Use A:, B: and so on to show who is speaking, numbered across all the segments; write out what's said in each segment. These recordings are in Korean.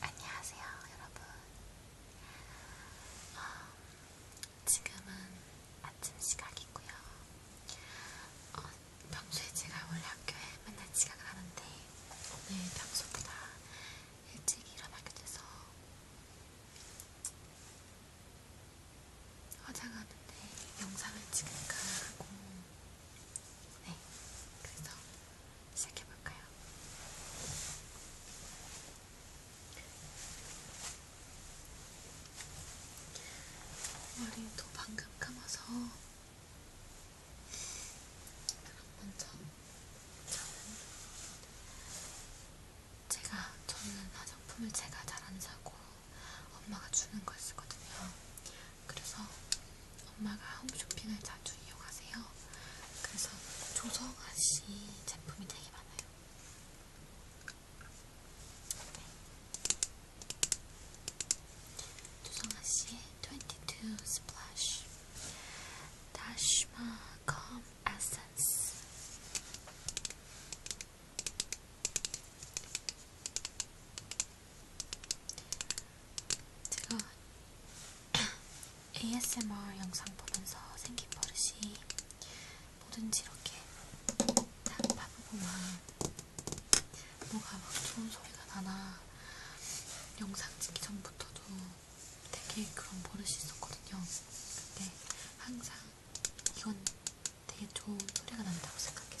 A: 안녕하세요, 여러분. 어, 지금은 아침 시각이고요. 어, 평소에 제가 원래 학교에 맨날 지각을 하는데 오늘 평소보다 일찍 일어나게 돼서 화장하는데 영상을 찍을까 하고 네, 그래서 시작해볼까요? 머리도 방금 감아서 그럼 먼저 저는 제가 저는 화장품을 제가 잘 안 사고 엄마가 주는 걸 쓰거든요. 그래서 엄마가 홈쇼핑을 자주 이용하세요. 그래서 조성아씨 제품이 되게 많아요. 네. 조성아씨의 22 Splash 다시마 컴 에센스 제가 ASMR 영상 보면서 생긴 버릇이 뭐든지 이렇게 딱 봐보고만 뭐가 막 좋은 소리가 나나 영상 찍기 전부터도 되게 그런 버릇이 있었거든요. 근데 항상 이건 되게 좋은 소리가 난다고 생각했어요.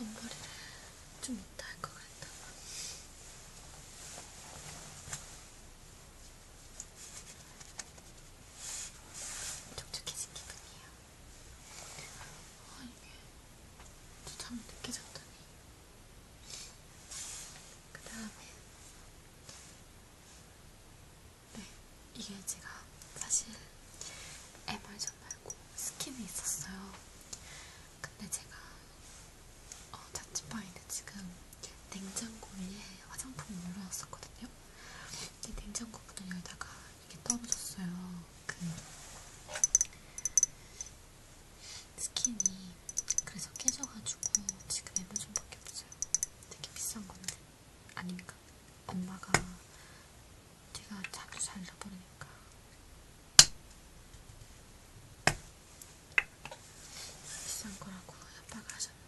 A: 앞머리를 좀 이따 할 것 같다. 촉촉해진 기분이에요. 아, 이게 또 잠을 늦게 잤더니 그 다음에 네 이게 제가 사실 에멀전 말고 스킨이 있었어요. 근데 제가 어, 자취방인데 지금 냉장고 위에 화장품이 올라왔었거든요. 이 냉장고 문을 열다가 이게 떨어졌어요. 그 스킨이 그래서 깨져가지고 지금 애물좀밖에 없어요. 되게 비싼 건데 아닙니까? 엄마가 제가 자주 잘 잃어버리니까. 비싼 거라고 협박을 하셨는데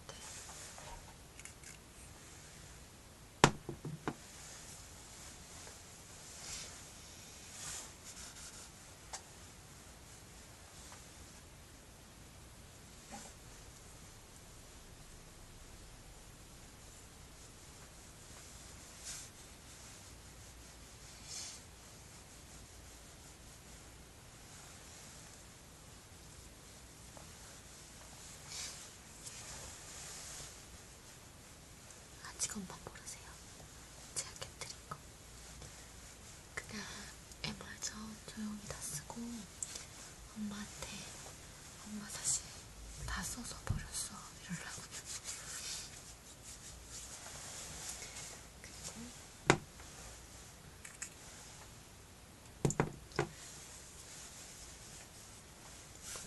A: 아직 한번 모르세요. 제가 곁들인 거. 그냥 애말점 조용히 다 쓰고 엄마한테 엄마 사실 다 써서 버렸어 이러려고요.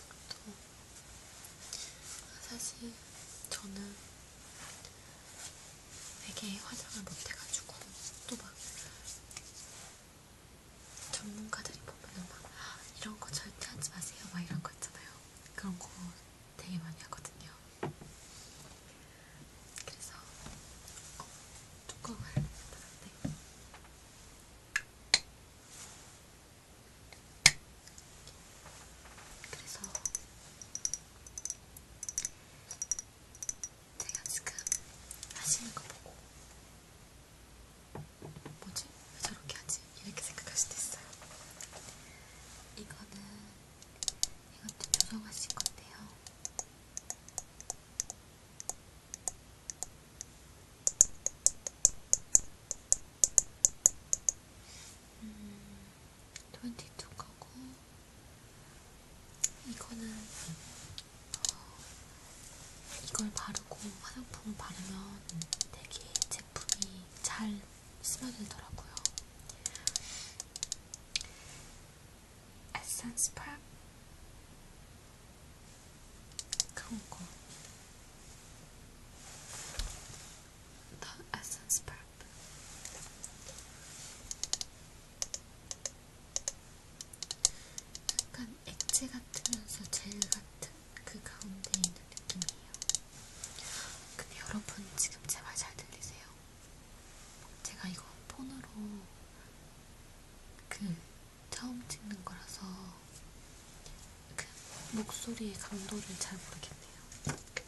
A: 그리고 또 사실 저는 되게 화장을 못해가지고 또 막 전문가들이 보면은 막 이런 거 절대 하지 마세요 막 이런 거 있잖아요. 그런 거 되게 많이 하거든요. 그래서 어, 뚜껑을 닫았네. 그래서 제가 지금 하시는 거 보고 뭐지? 왜 저렇게 하지? 이렇게 생각할 수도 있어요. 이거는 이것도 조정하실 건데요. 음, 22 거고 이거는 어, 이걸 바르고 화장품 바르면 되게 제품이 잘 스며들더라고요. 에센스 팝 그런 거. 더 에센스 팝 약간 액체 같으면서 젤 같은 그 가운데 있는 느낌이에요. 근데 여러분 지금 제 말 잘 들리세요? 제가 이거 폰으로 그 처음 찍는 거라서 그 목소리의 강도를 잘 모르겠네요.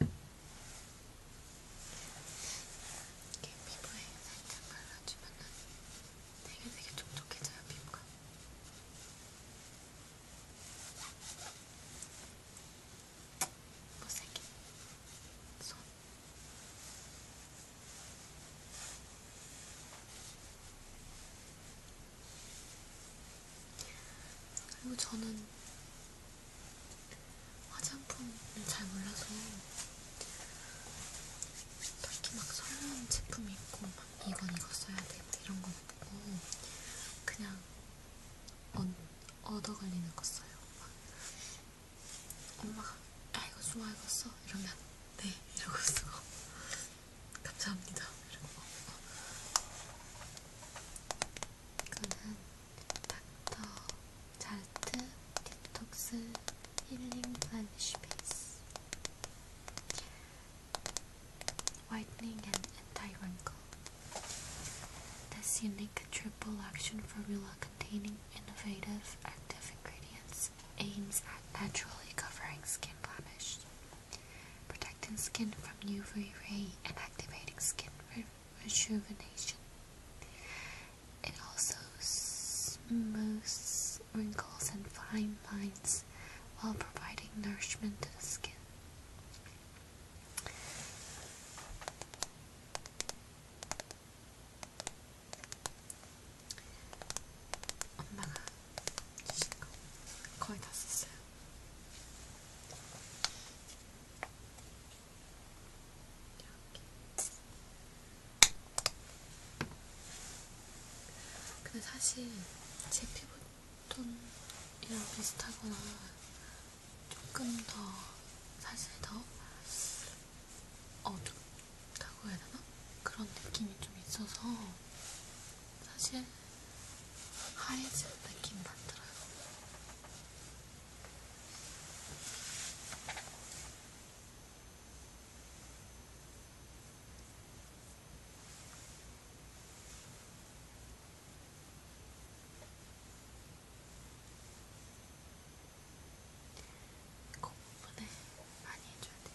A: 이렇게 피부에 살짝 발라주면은 되게 되게 촉촉해져요, 피부가. 못생긴 뭐 손. 그리고 저는 화장품을 잘 몰라서 딱히 막 설레는 제품이 있고 막 이건 이거 써야 돼 이런 거 없고 그냥 얻, 얻어 걸리는 거 써요. 막 엄마가 아 이거 좋아 이거 써 이러면 네 이러고 쓰고 감사합니다 이러고 This unique triple action formula containing innovative active ingredients aims at naturally covering skin blemish, protecting skin from UV rays, and activating skin rejuvenation. It also smooths wrinkles and fine lines while providing nourishment to the skin. 근데 사실 제 피부톤이랑 비슷하거나 조금 더 사실 더 어둡다고 해야 되나? 그런 느낌이 좀 있어서 사실 하얘진 느낌 만들어요. 이거 부분에 많이 해줘야 돼요.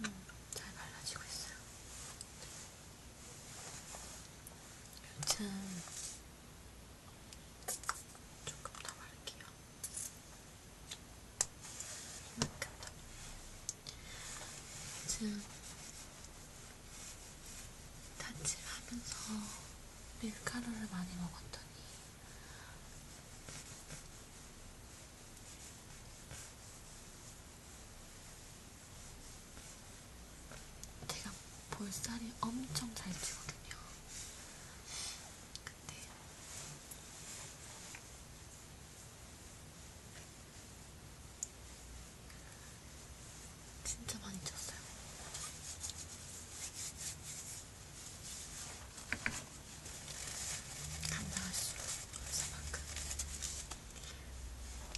A: 음, 잘 발라지고 있어요. 요즘 조금 더 바를게요. 이만큼 더. 요즘 다치를 하면서 밀가루를 많이 먹었던 제가 볼살이 엄청 잘 찌거든요. 근데 진짜 많이 쪘어요. 단단할수록 얼마만큼.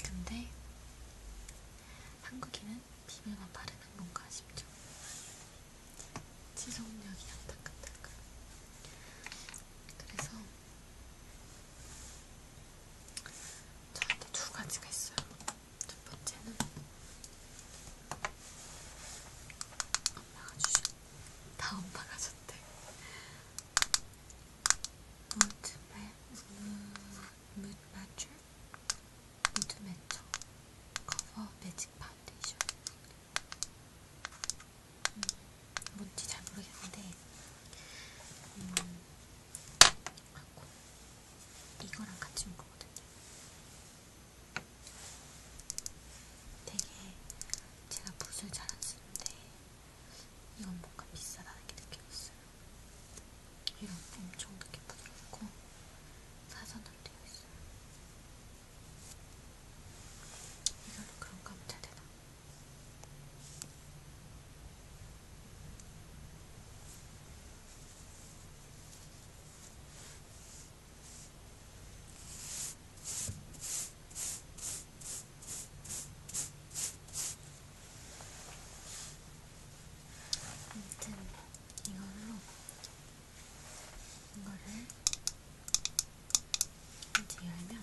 A: 근데 한국인은 비밀만 바르는 건가 싶죠. 지속력이 안타깝다고. 그래서 저한테 두 가지가 있어요. 두 번째는 엄마가 주신 다 엄마가 줬대. 무드 매출, 무드 매쳐 커버 매직 파운데이션. 음, 뭔지 잘 모르겠는데 음, 이거랑 같이 온 거거든요. 되게 제가 붓을 잘 안 쓰는데 이건 뭔가 비싸다는 게 느껴졌어요. 이런 엄청 되게 부드럽고 사선으로 되어 있어요. 이걸로 그런가 하면 잘 되나? 이렇게 아무튼 이걸로 이거를 이렇게 열면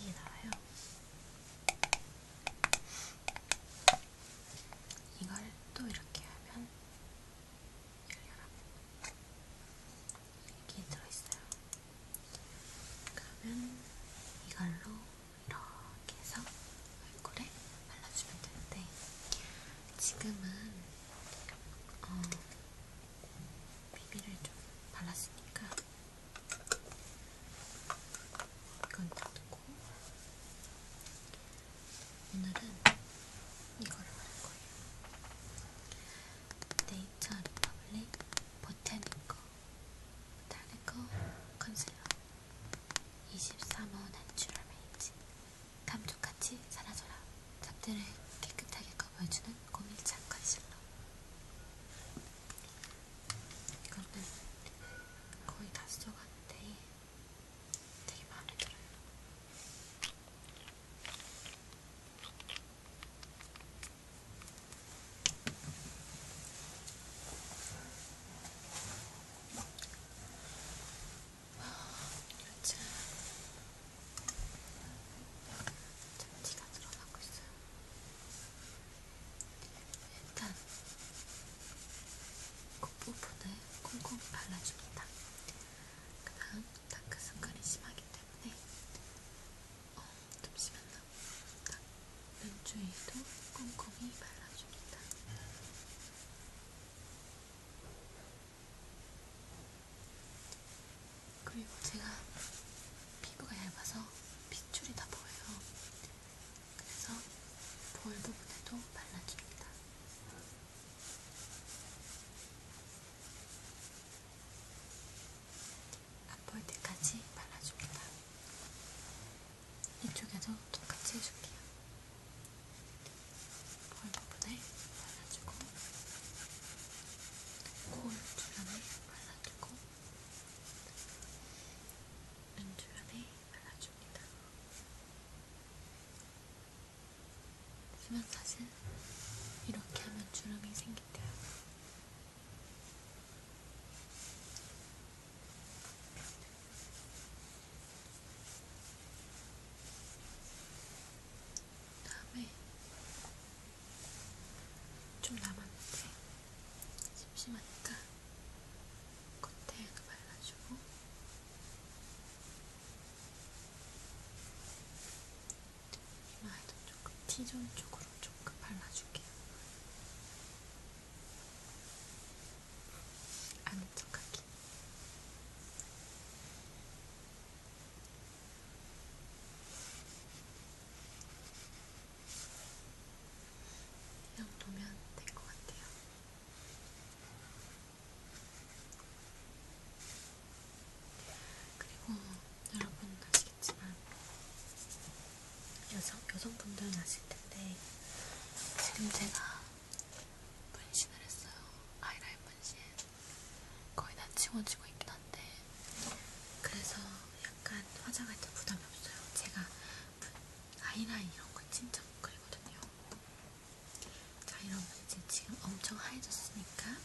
A: 이게 나와요. 이걸 또 이렇게 하면 열려라. 이렇게 들어있어요. 그러면 이걸로 이렇게 해서 얼굴에 발라주면 되는데 지금은 어, 비비를 좀 발랐으니까 이건 뜯고 오늘은 이거를 할 거예요. 네이처 리퍼블릭 보테니커 보테니커 컨실러 23호 내추럴 메이지 감쪽같이 사라져라 잡들을 깨끗하게 커버해주는 고밀착 컨실러 이거는 거의 다 써갔는데 되게 마음에 들어요. 요즘 아, 잡티가 늘어나고 있어요. 일단 콧부분을 콩콩 발라줍니다. 그 다음 다크서클이 심하기 때문에 어, 좀 심했나? 눈 주위도 꼼꼼히 발라줍니다. 그리고 제가 피부가 얇아서 핏줄이 다 보여요. 그래서 볼 부분에도 발라줍니다. 안 보일 때까지 발라줍니다. 이쪽에도 똑같이 해줄게요. 볼 부분에 발라주고, 코 주변에 발라주고, 눈 주변에 발라줍니다. 하지만 사실 이렇게 하면 주름이 생긴대요. 다음에 좀 남았는데 심심하니까 겉에도 발라주고 이마에도 조금 T존 쪽으로 조금 발라줄게요. 안쪽하기. 이렇게 이 정도면 될 것 같아요. 그리고 여러분 아시겠지만 여성, 여성분들은 아실 텐데 지금 제가 분신을 했어요. 아이라인 분신. 거의 다 치워지고 있긴 한데 그래서 약간 화장할 때 부담이 없어요. 제가 아이라인 이런 거 진짜 못 그리거든요. 자, 이러면 이제 지금 엄청 하얘졌으니까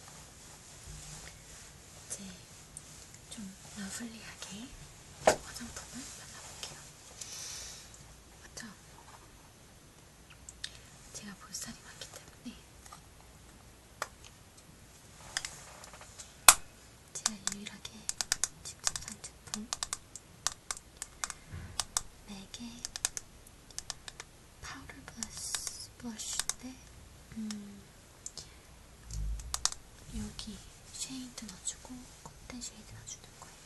A: 이제 좀 러블리하게 화장품을 발라볼게요. 맞죠? 제가 볼살이 많기 때문에 제가 유일하게 직접 산 제품 4개 파우더 브러쉬, 브러쉬인데 음, 여기 쉐이드 넣어주고 콧대 쉐이드 넣어주는 거예요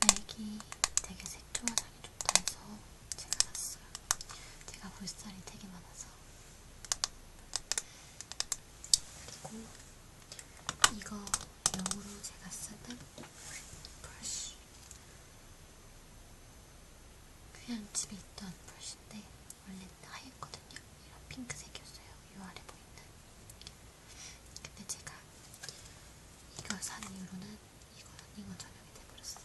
A: 4개 되게 색조화장이 좋다 해서 제가 샀어요 제가 볼살이 되게 많아서 있어. 그리고 이거 영어로 제가 쓰는 브러쉬. 그냥 집에 있던 브러쉬인데 원래 하였거든요. 이런 핑크색이었어요. 요 아래 보이는. 근데 제가 이걸 산 이후로는 이거 이거 저녁이 돼버렸어요.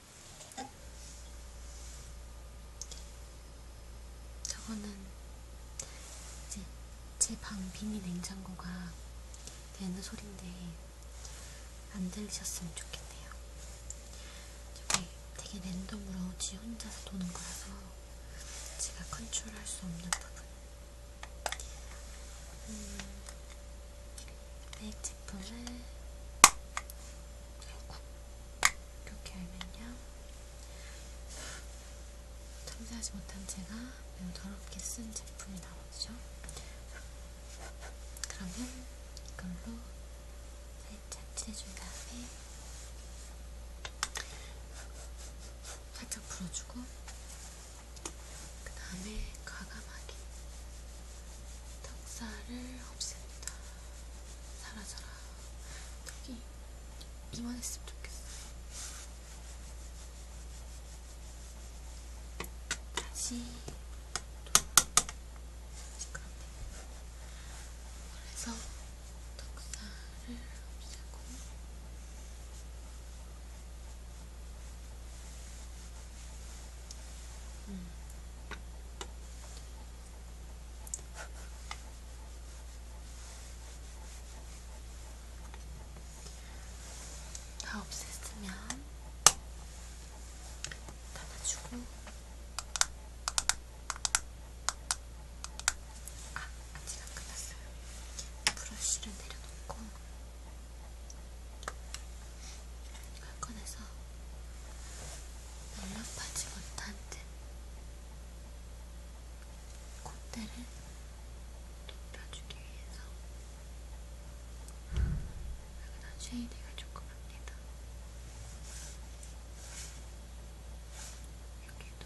A: 저거는 이제 제 방 비니 냉장고가 내는 소린데 안 들리셨으면 좋겠네요. 저게 되게 랜덤으로 지 혼자서 도는 거라서 제가 컨트롤할 수 없는 부분. 음, 메이크 제품을 이렇게 알면요. 참사하지 못한 제가 매우 더럽게 쓴 제품이 나오죠. 그러면 이걸로 살짝 칠해준 다음에 살짝 풀어주고 그 다음에 과감하게 턱살을 없앱니다. 사라져라. 턱이 이만했으면 좋겠어. 다시 시끄럽네. 그래서 턱살을 없애고 음. 다 없앴으면 닫아주고 아! 아직 안 끝났어요 브러쉬를 내려놓고 꺼내서 넉넉하지 못한 듯 콧대를 높여주기 위해서 여기다 쉐이딩을 조금 합니다. 여기도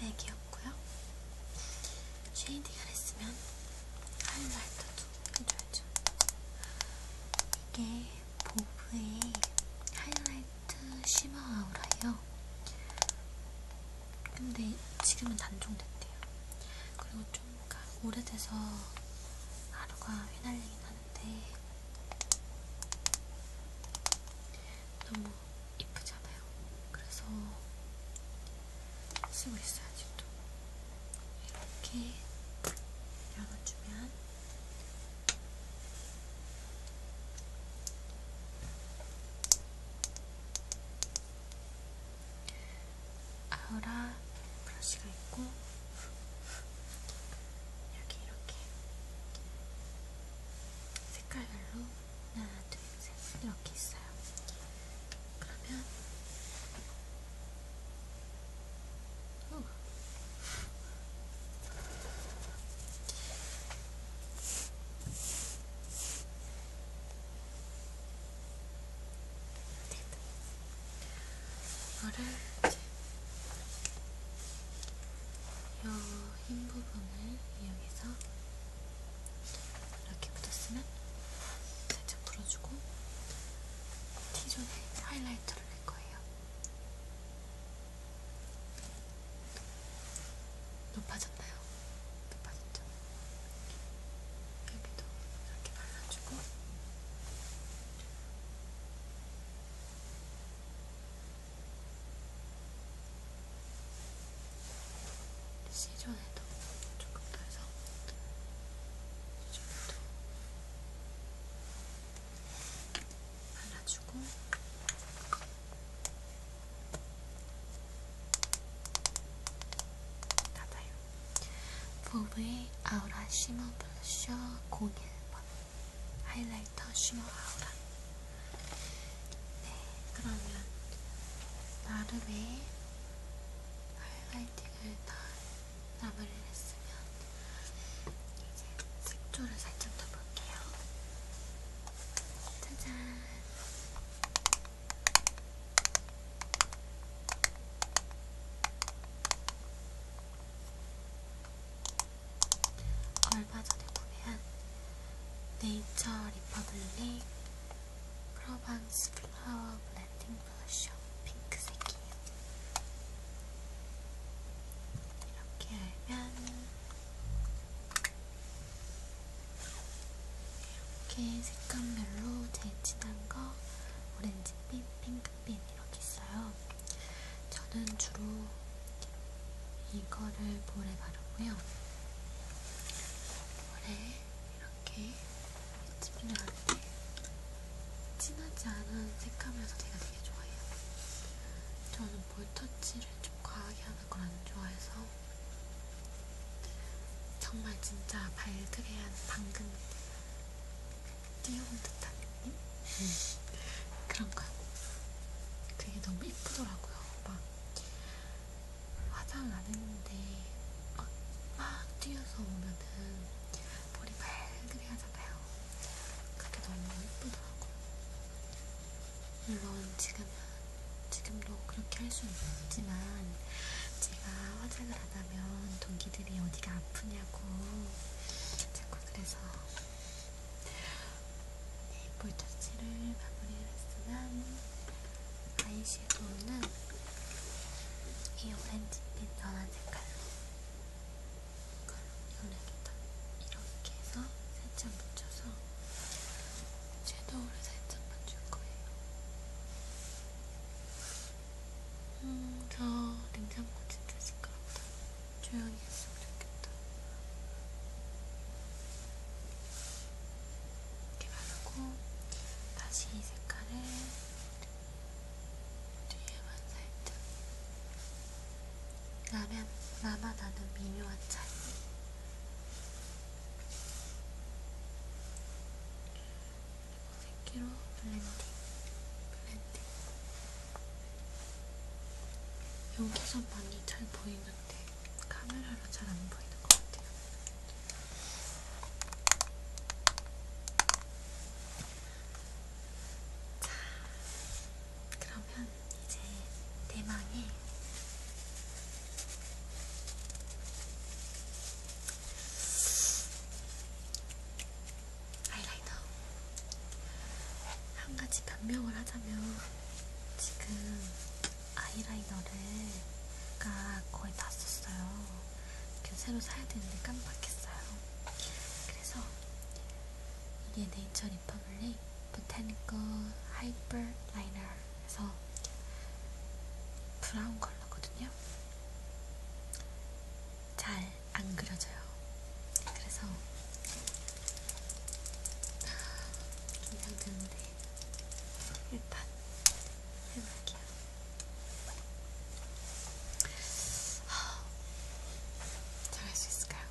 A: 맥이었고요. 쉐이딩을 했으면 하이라이터도 해줘야죠. 이게 보브의 하이라이트 쉬머 아우라예요. 근데 지금은 단종됐대요. 그리고 좀 그러니까 오래돼서 하루가 휘날리긴 하는데 네. 너무 이쁘잖아요. 그래서 쓰고 있어요, 아직도. 이렇게 열어주면 아우라 브러쉬가 있고 여기 이렇게 색깔별로 하나, 둘, 셋 이렇게 있어요. 그러면 후. 이거를 이제 요흰 부분을 이용해서 이렇게 묻었으면 살짝 풀어주고 T존에 하이라이터를 낼 거예요. 높아졌나요? 높아졌죠? 여기도 이렇게 발라주고 시전에도 조금 더 해서 시전에도 발라주고 닫아요. 보브의 아우라 시머 블러셔 01번 하이라이터 쉬머 아우라 네 그러면 나름의 하이라이팅을 다 마무리를 했으면 이제 색조를 살짝 더 볼게요 짜잔 얼마 전에 구매한 네이처 리퍼블릭 프로방스 플라워 블렌딩 브러쉬 핑크색이에요. 이렇게 열면 이렇게 색감별로 제일 진한 거 오렌지빛, 핑크빛 이렇게 있어요. 저는 주로 이거를 볼에 바르고요. 볼에 이렇게 집중하는데 진하지 않은 색하면서 제가 되게 좋아해요. 저는 볼터치를 좀 과하게 하는 걸 안 좋아해서 정말 진짜 발그레한 방금 뛰어온 듯한 느낌? 음, 그런 거. 그게 너무 예쁘더라고요. 막 화장 안 했는데 막, 막 뛰어서 오면은 머리 발그레 하잖아요. 그게 너무 예쁘더라고요. 물론 지금은 지금도 그렇게 할수 있지만 제가 화장을 안 하면 동기들이 어디가 아프냐고 자꾸 그래서 네이플 터치를 마무리를 했으면 아이섀도우는 이 오렌지빛 연한 색깔로 연하게 이렇게 해서 살짝 묻혀서 섀도우를 살짝만 줄 거예요. 음, 저 냉장고 진짜 시끄럽다. 조용히 했으면 좋겠다. 이렇게 바르고 다시 이 색깔을 뒤에만 살짝 라면, 나만 아는 미묘한 차이 색기로 블렌딩 블렌딩 여기서 많이 잘 보이나요? 보이는데 카메라로 잘 안 보이는 것 같아요. 자, 그러면 이제 대망의 아이라이너 한 가지 변명을 하자면 지금 아이라이너를가 거의 다 썼어요. 새로 사야 되는데 깜빡했어요. 그래서 이게 네이처 리퍼블릭 보테니컬 하이퍼 라이너에서 브라운 컬러거든요. 잘 안 그려져요. 그래서 긴장되는데 아, 일단 해볼게요. 아, 잘할 수 있을까요? 아,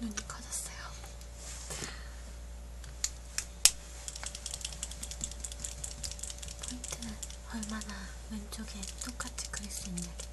A: 눈이 커졌어요. 포인트는 얼마나 왼쪽에 똑같이 그릴 수 있냐겠죠.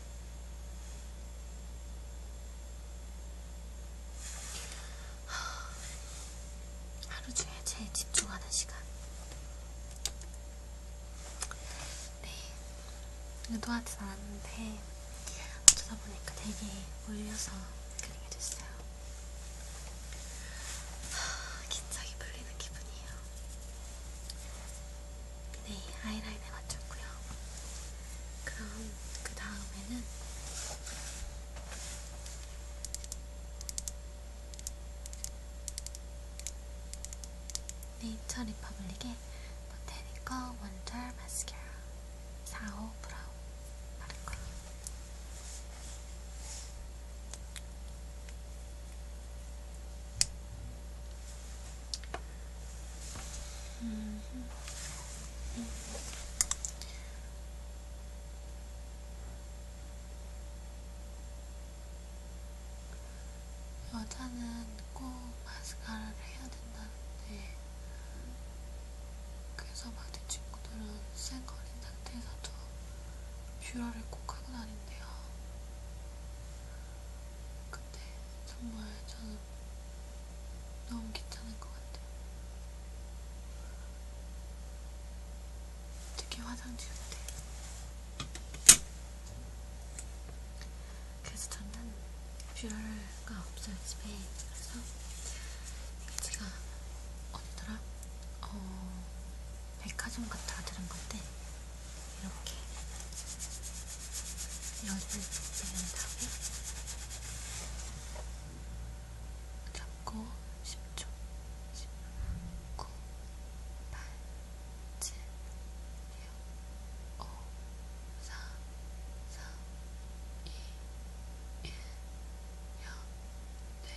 A: 하루 중에 제일 집중하는 시간. 네, 의도하진 않았는데 어쩌다 보니까 되게 몰려서 그리게 됐어요. 긴장이 풀리는 기분이에요. 네, 하이라인에 맞췄고요. 그럼 그 다음에는 네이처 리퍼블릭의 보테니커 원절 마스카라 4호 브라운 바를 거예요. 여자는 꼭 마스카라를 해야 된다는데 그래서 막내 친구들은 쌩거린 상태에서도 뷰러를 꼭 하고 다닌대요. 근데 정말 저는 너무 괜찮은 것 같아요. 특히 화장 지울 때. 그래서 저는 뷰러가 없어요, 집에. 그래서 제가 어디더라? 어, 백화점 갔다가 들은 건데 이렇게 열을 내린 다음에 잡고 10초 9 8 7 6 5 4 3 2 1 0 네.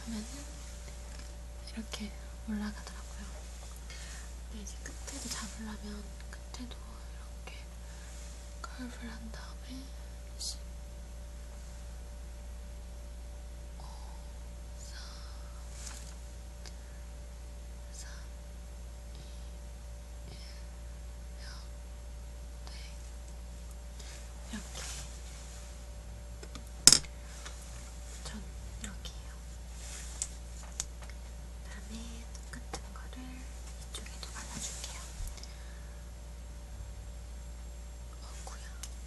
A: 하면은 이렇게 올라가더라고요. 근데 이제 끝에도 잡으려면 끝에도 이렇게 컬브를 한 다음에 다시 오, 4, 3, 2, 1, 0, 네. 이렇게 전 여기에요. 다음에 똑같은 거를 이쪽에도 발라줄게요. 어구야. 자,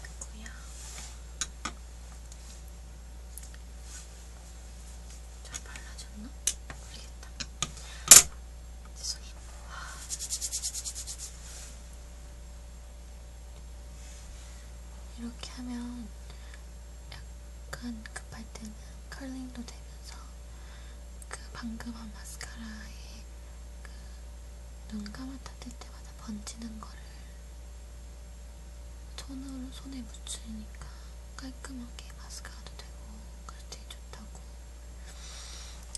A: 됐고요. 잘 발라졌나? 모르겠다. 죄송해요. 이렇게 하면 약간 급할 때는 컬링도 되면서 그 방금 한 마스카라에 그눈 감았다 뜰 때마다 번지는 거를 손으로 손에 묻히니까 깔끔하게 마스카라도 되고 그래서 되게 좋다고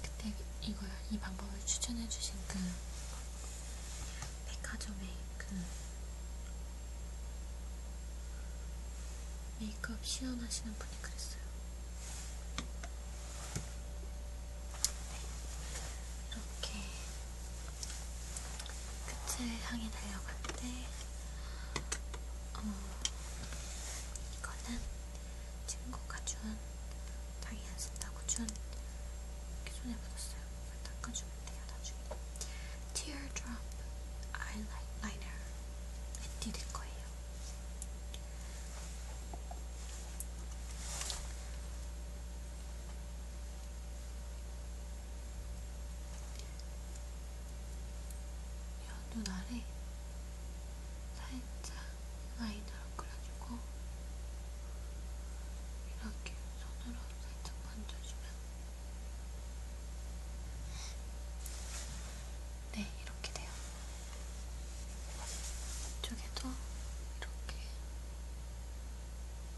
A: 그때 이걸 이 방법을 추천해주신 그 백화점의 그 메이크업 시연하시는 분이 그랬어요. 네. 이렇게 끝을 향해 달려갈 때 어, 이거는 친구가 준 당이 안 쓴다고 준 이렇게 손에 묻었어요. 이걸 닦아주면 돼요. 나중에 Teardrop Eyeliner 앤디딜 거예요. 눈 아래 살짝 라이너로 그려주고 이렇게 손으로 살짝 만져주면 네 이렇게 돼요. 이쪽에도 이렇게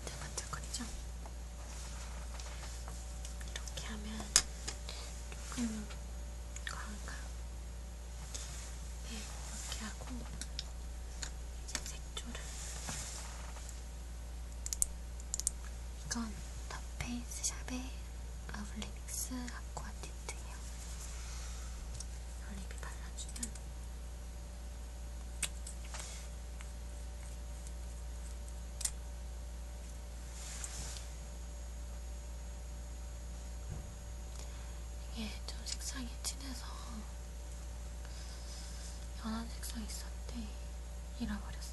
A: 반짝반짝거리죠? 이렇게 하면 조금 과한가? 네, 이렇게 하고 이제 색조를 이건 더페이스 샵의 어블릭스 아쿠아틴트예요. 올리비 발라주면 이게 좀 색상이 진해서 연한 색상이 있었는데 잃어버렸어요.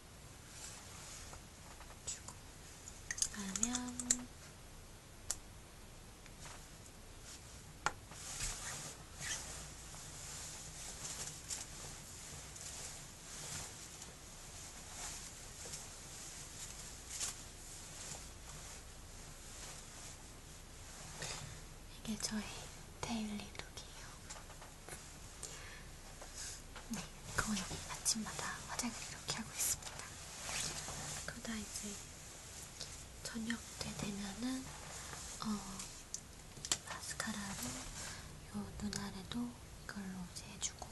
A: 주고 라면 이게 저희 데일리 룩이에요. 네, 그거 여기 아침마다 화장을 이렇게 하고 있습니다. 그러다 이제 저녁 때 되면은 어 마스카라로 요눈 아래도 이걸로 이제 해주고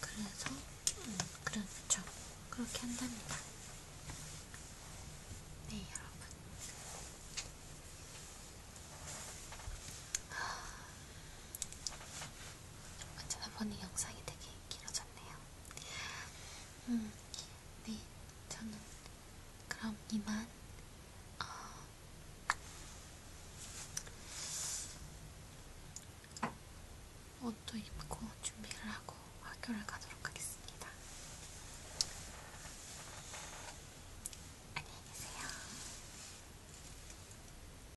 A: 그래서 음 그렇죠 그렇게 한답니다. 네 여러분 저번에 영상이 되게 길어졌네요. 음, 네, 저는 그럼 이만 어, 옷도 입고 준비를 하고 학교를 가도록 하겠습니다. 안녕히 계세요.